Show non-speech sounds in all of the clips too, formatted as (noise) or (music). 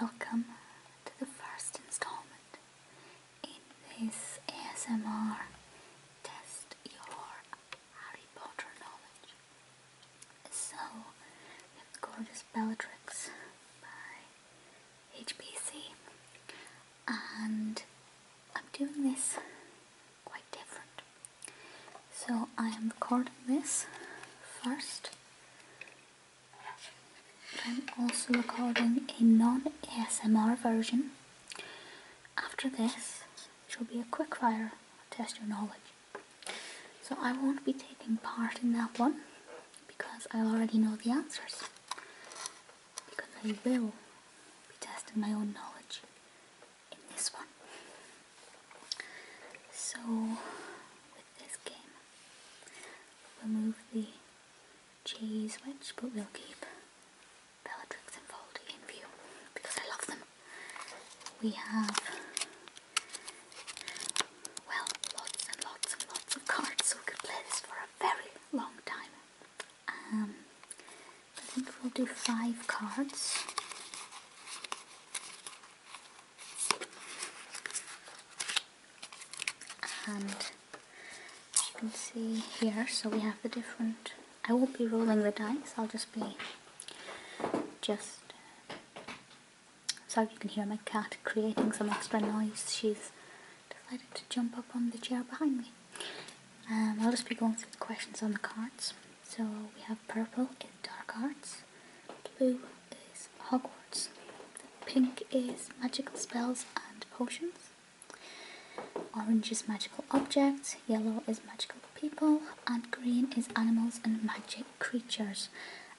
Welcome to the first installment in this ASMR test your Harry Potter knowledge. So, we Gorgeous Bellatrix by HPC and I'm doing this quite different. So I am recording this first I'm also recording a non-ASMR version. After this, which will be a quick fire test your knowledge. So I won't be taking part in that one because I already know the answers. Because I will be testing my own knowledge in this one. So this game. We'll move the cheese switch, but we'll keep Bellatrix and Foldy in view because I love them. We have, well, lots and lots and lots of cards, so we could play this for a very long time. Um, I think we'll do five cards and you can see here so we have the different I won't be rolling the dice I'll just be just sorry you can hear my cat creating some extra noise she's decided to jump up on the chair behind me um, I'll just be going through the questions on the cards so we have purple and dark arts blue is Hogwarts, pink is magical spells and potions, orange is magical objects, yellow is magical people, and green is animals and magic creatures.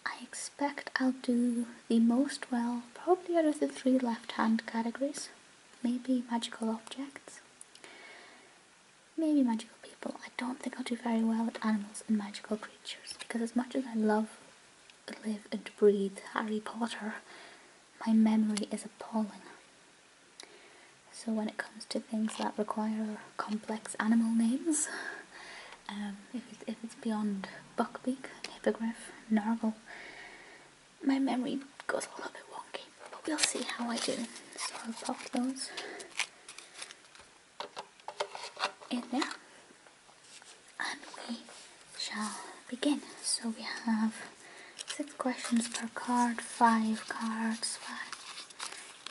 I expect I'll do the most well, probably out of the three left hand categories. Maybe magical objects. Maybe magical people. I don't think I'll do very well at animals and magical creatures because, as much as I love live and breathe Harry Potter, my memory is appalling. So when it comes to things that require complex animal names, um, if it's beyond buckbeak, hippogriff, narwhal, my memory goes a little bit wonky, but we'll see how I do. So I'll pop those and now, and we shall begin so we have six questions per card five cards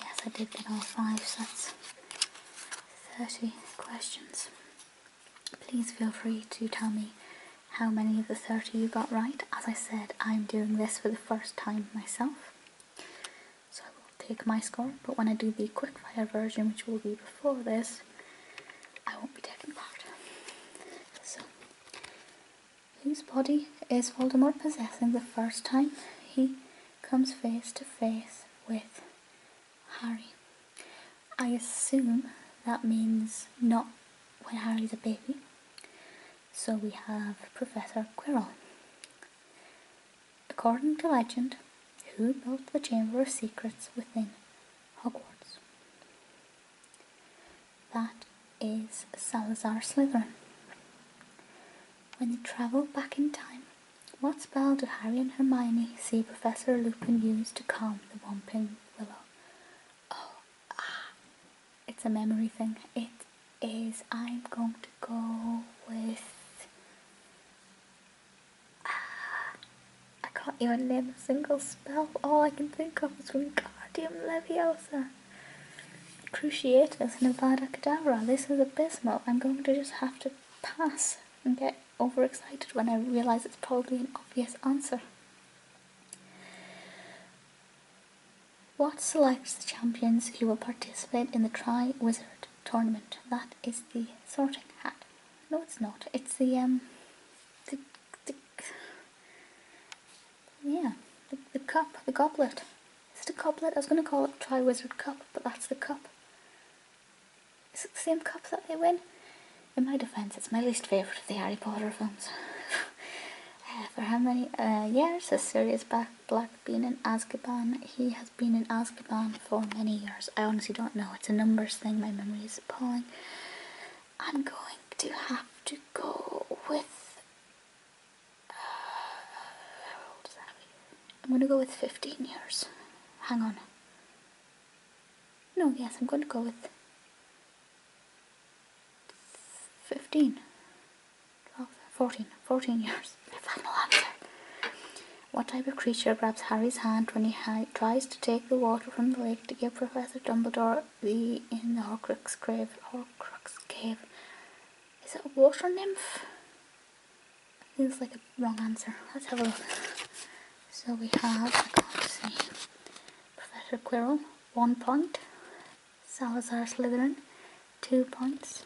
yes I did get all five so that's 30 questions please feel free to tell me how many of the 30 you got right as I said I'm doing this for the first time myself so I will take my score, but when I do the quickfire version, which will be before this, I won't be taking part. So, whose body is Voldemort possessing the first time he comes face to face with Harry? I assume that means not when Harry's a baby. So we have Professor Quirrell according to legend, who built the Chamber of Secrets within Hogwarts. That is Salazar Slytherin. When they travel back in time, what spell do Harry and Hermione see Professor Lupin use to calm the Whomping Willow? Oh, ah, it's a memory thing. It is. I'm going to go with I can't even name a single spell. All I can think of is Wingardium Leviosa. Cruciatus Nevada Cadabra. This is abysmal. I'm going to just have to pass and get overexcited when I realise it's probably an obvious answer. What selects the champions who will participate in the Tri Wizard tournament? That is the sorting hat. No, it's not. It's the um, the, the yeah, the, the cup, the goblet. Is it a goblet? I was going to call it Triwizard Cup, but that's the cup. Is it the same cup that they win? In my defence, it's my least favourite of the Harry Potter films. (laughs) Uh, for how many uh, years has Sirius Black, Black been in Azkaban? He has been in Azkaban for many years. I honestly don't know. It's a numbers thing. My memory is appalling. I'm going to have to go with. Uh, I'm going to go with 15 years. Hang on. No, yes, I'm going to go with 15, 12, 14, 14 years. final answer. What type of creature grabs Harry's hand when he tries to take the water from the lake to give Professor Dumbledore the in the Horcrux cave? Horcrux cave. Is it a water nymph? Seems like a wrong answer. Let's have a look. So we have, Professor Quirrell, one point. Salazar Slytherin, two points.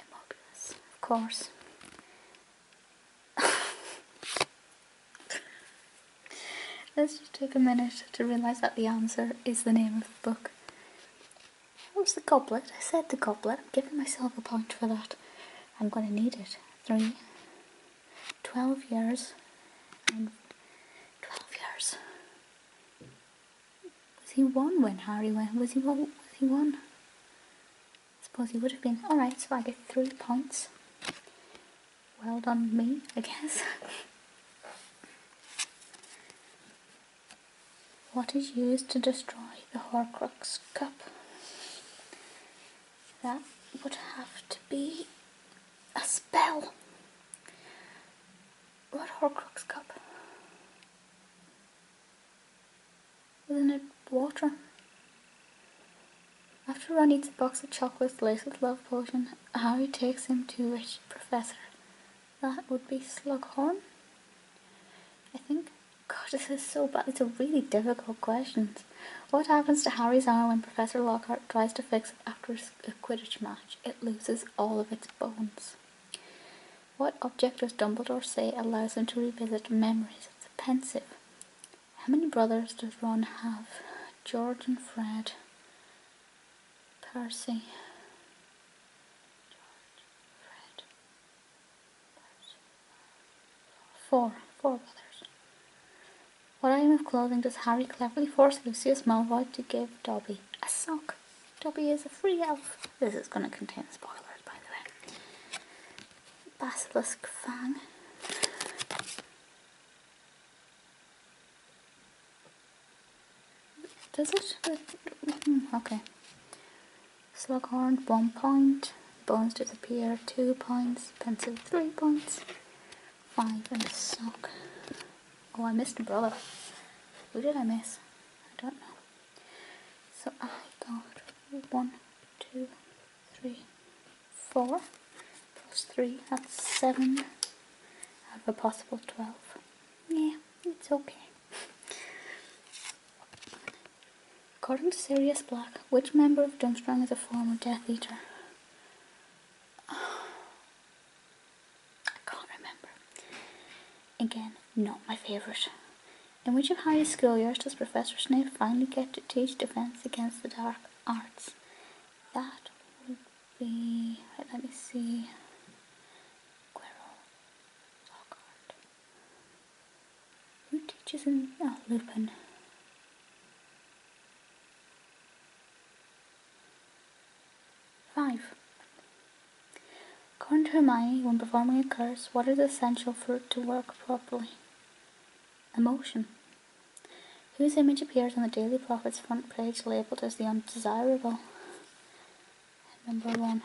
Immobilus, of course. (laughs) Let's just take a minute to realise that the answer is the name of the book. It was the goblet. I said the goblet. I'm giving myself a point for that. I'm going to need it. Twelve years, and twelve years. Was he one when Harry went? Was he one? Was he one? suppose he would have been. Alright, so I get three points. Well done, me, I guess. (laughs) what is used to destroy the Horcrux cup? That would have to be a spell. What Horcrux cup? Isn't it water? After Ron eats a box of chocolates laced with love potion, Harry takes him to Rich Professor. That would be Slughorn? I think. God, this is so bad. These are really difficult questions. What happens to Harry's arm when Professor Lockhart tries to fix it after a Quidditch match? It loses all of its bones. What object does Dumbledore say allows him to revisit memories? of the pensive. How many brothers does Ron have? George and Fred. Percy. George, Fred. Percy. Four. Four brothers. What item of clothing does Harry cleverly force Lucius Malfoy to give Dobby? A sock. Dobby is a free elf. This is going to contain spoilers, by the way basilisk fang. Does it? Mm-hmm, okay. Slughorn, one point. Bones disappear, two points. Pencil, three points. Five in a sock. Oh, I missed a brother. Who did I miss? I don't know. So I got one, two, three, four, plus three, that's seven out of a possible twelve. Yeah, it's okay. According to Sirius Black, which member of Dunstrang is a former Death Eater? (sighs) I can't remember. Again, not my favourite in which of higher school years does Professor Snape finally get to teach Defense Against the Dark Arts? That would be. let me see. Quirrell. Lockhart. Who teaches in. Oh, Lupin. Five. According to Hermione, when performing a curse, what is essential for it to work properly? emotion, whose image appears on the Daily Prophet's front page labeled as the undesirable. Number one.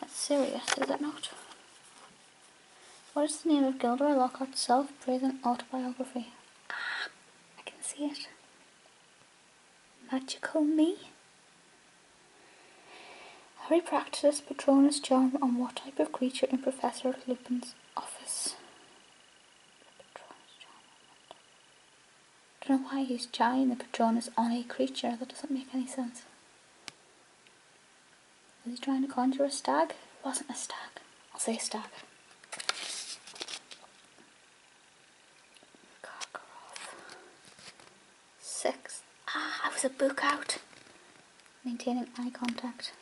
That's serious, is it not? What is the name of Gilderoy Lockhart's self-praising autobiography? Ah, I can see it. Magical Me? Harry practices Patronus charm on what type of creature in Professor Lupin's office. don't know why he's trying the Patronus on a creature, that doesn't make any sense. Was he trying to conjure a stag? It wasn't a stag. I'll say stag six. Ah, I was a book out. Maintaining eye contact.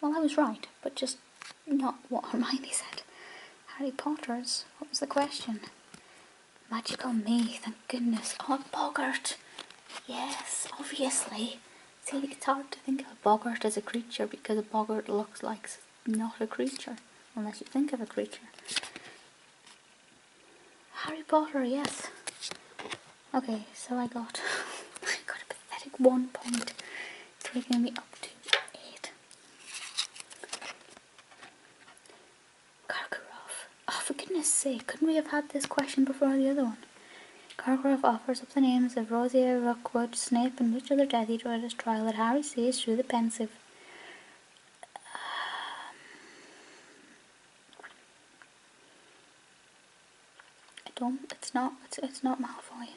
Well, I was right, but just not what (laughs) Hermione said. Harry Potter's. What was the question? Magic on me, thank goodness. Oh, Boggart. Yes, obviously. See, it's hard to think of a boggart as a creature because a boggart looks like not a creature, unless you think of a creature. Harry Potter, yes. Okay, so I got (laughs) I got a pathetic one point, taking me up to eight. Karkaroff. Oh, for goodness sake, couldn't we have had this question before the other one? Karkaroff offers up the names of Rosier, Rookwood, Snape, and which other Death Eater at his trial that Harry sees through the pensive. Um, I don't. It's not. It's, not Malfoy.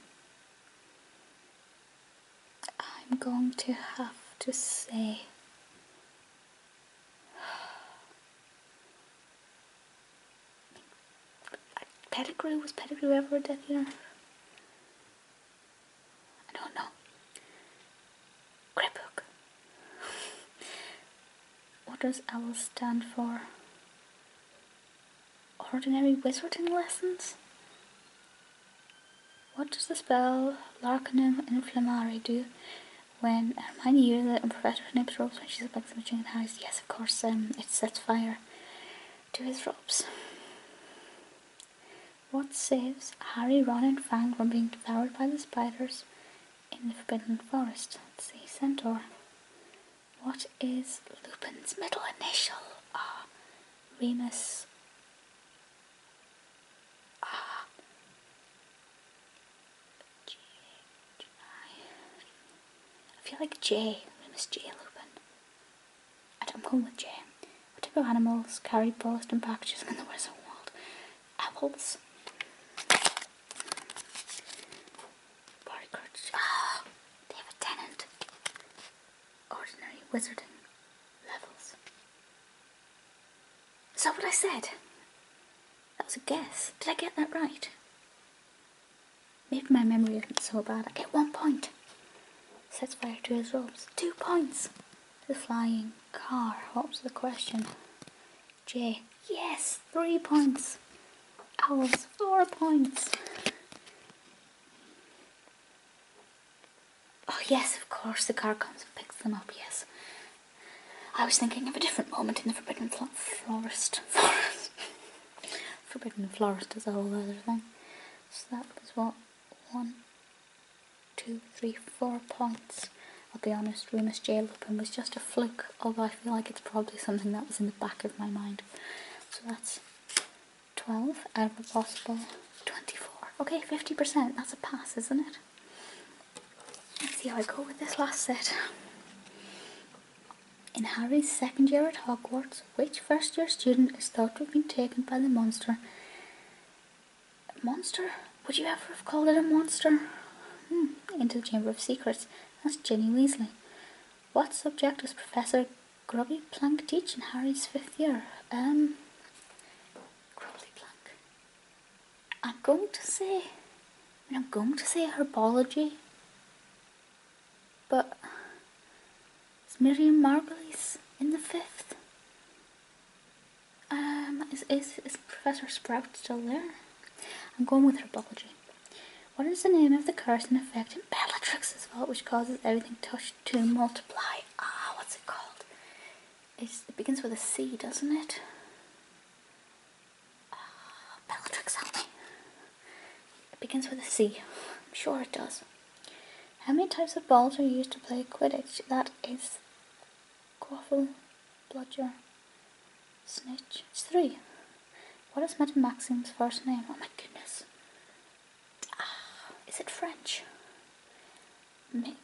I'm going to have to say. (sighs) Pettigrew? Was Pettigrew ever a Death Eater? I don't know. Scrapbook. what does OWL stand for? Ordinary Wizarding Lessons? What does the spell Larkinum Inflammare do when Hermione uses it on Professor Snape's robes when she's back to the house? Yes, of course, um, it sets fire to his robes. What saves Harry, Ron and Fang from being devoured by the spiders in the Forbidden Forest. Let's see, Centaur. What is Lupin's middle initial? Ah, Remus. Ah. G H I. I feel like J. Remus J. Lupin. I don't, I'm with J. What type of animals carry ballast and packages in the wizard world? apples. Party Ah, oh, they Ordinary wizarding levels. Is that what I said? That was a guess. Did I get that right? Maybe my memory isn't so bad. I get one point. Sets fire to his robes. Two points. The flying car. What was the question? J. Yes, three points. Owls, four points. Oh, yes, of course, the car comes and picks them up, yes. I was thinking of a different moment in the Forbidden fl Forest. (laughs) Forest. forbidden Forest is a whole other thing. So that was what? One, two, three, four points. I'll be honest, we must jail open was just a fluke, although I feel like it's probably something that was in the back of my mind. So that's 12 out of a possible 24. Okay, 50%, that's a pass, isn't it? Let's see how I go with this last set. In Harry's second year at Hogwarts, which first year student is thought to have been taken by the monster? Monster? Would you ever have called it a monster? Hmm, into the Chamber of Secrets. That's Jenny Weasley. What subject was Professor Grubby Plank teach in Harry's fifth year? Um, Grubby Plank. I'm going to say. I am going to say herbology. But is Miriam Margulies in the fifth? Um, is, is Professor Sprout still there? I'm going with her herbology. What is the name of the curse and effect in Bellatrix's vault which causes everything touched to multiply? Ah, what's it called? it begins with a C, doesn't it? Ah, Bellatrix, help me. It begins with a C. I'm sure it does. How many types of balls are used to play Quidditch? That is Quaffle, Bludger, Snitch. It's three. What is Madame Maxim's first name? Oh my goodness. Ah, is it French? Mabel. (laughs)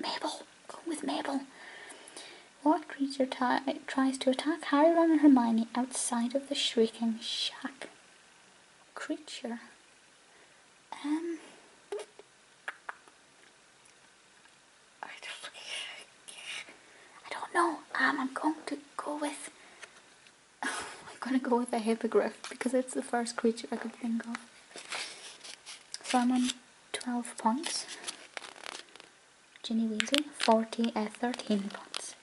Mabel. Go with Mabel. What creature tries to attack Harry, Ron and Hermione outside of the Shrieking Shack? Creature. Um... I don't, know. Um, I'm going to go with. (laughs) I'm gonna go with a hippogriff because it's the first creature I could think of. So I'm on 12 points. Ginny Weasley, 40 at uh, 13 points.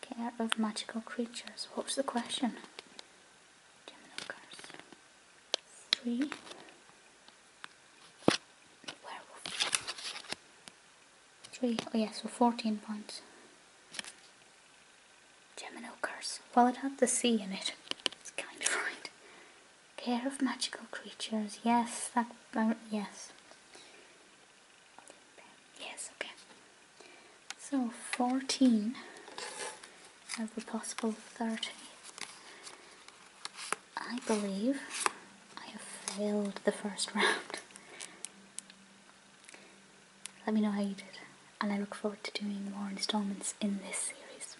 Care of magical creatures. What's the question? Three, Three. Oh yeah, so 14 points. Gemino curse. Well, it had the C in it. It's kind of right. Care of magical creatures. Yes, that. Uh, yes. Yes, okay. So 14 of the possible 30. I believe I have failed the first round. Let me know how you did, and I look forward to doing more installments in this series.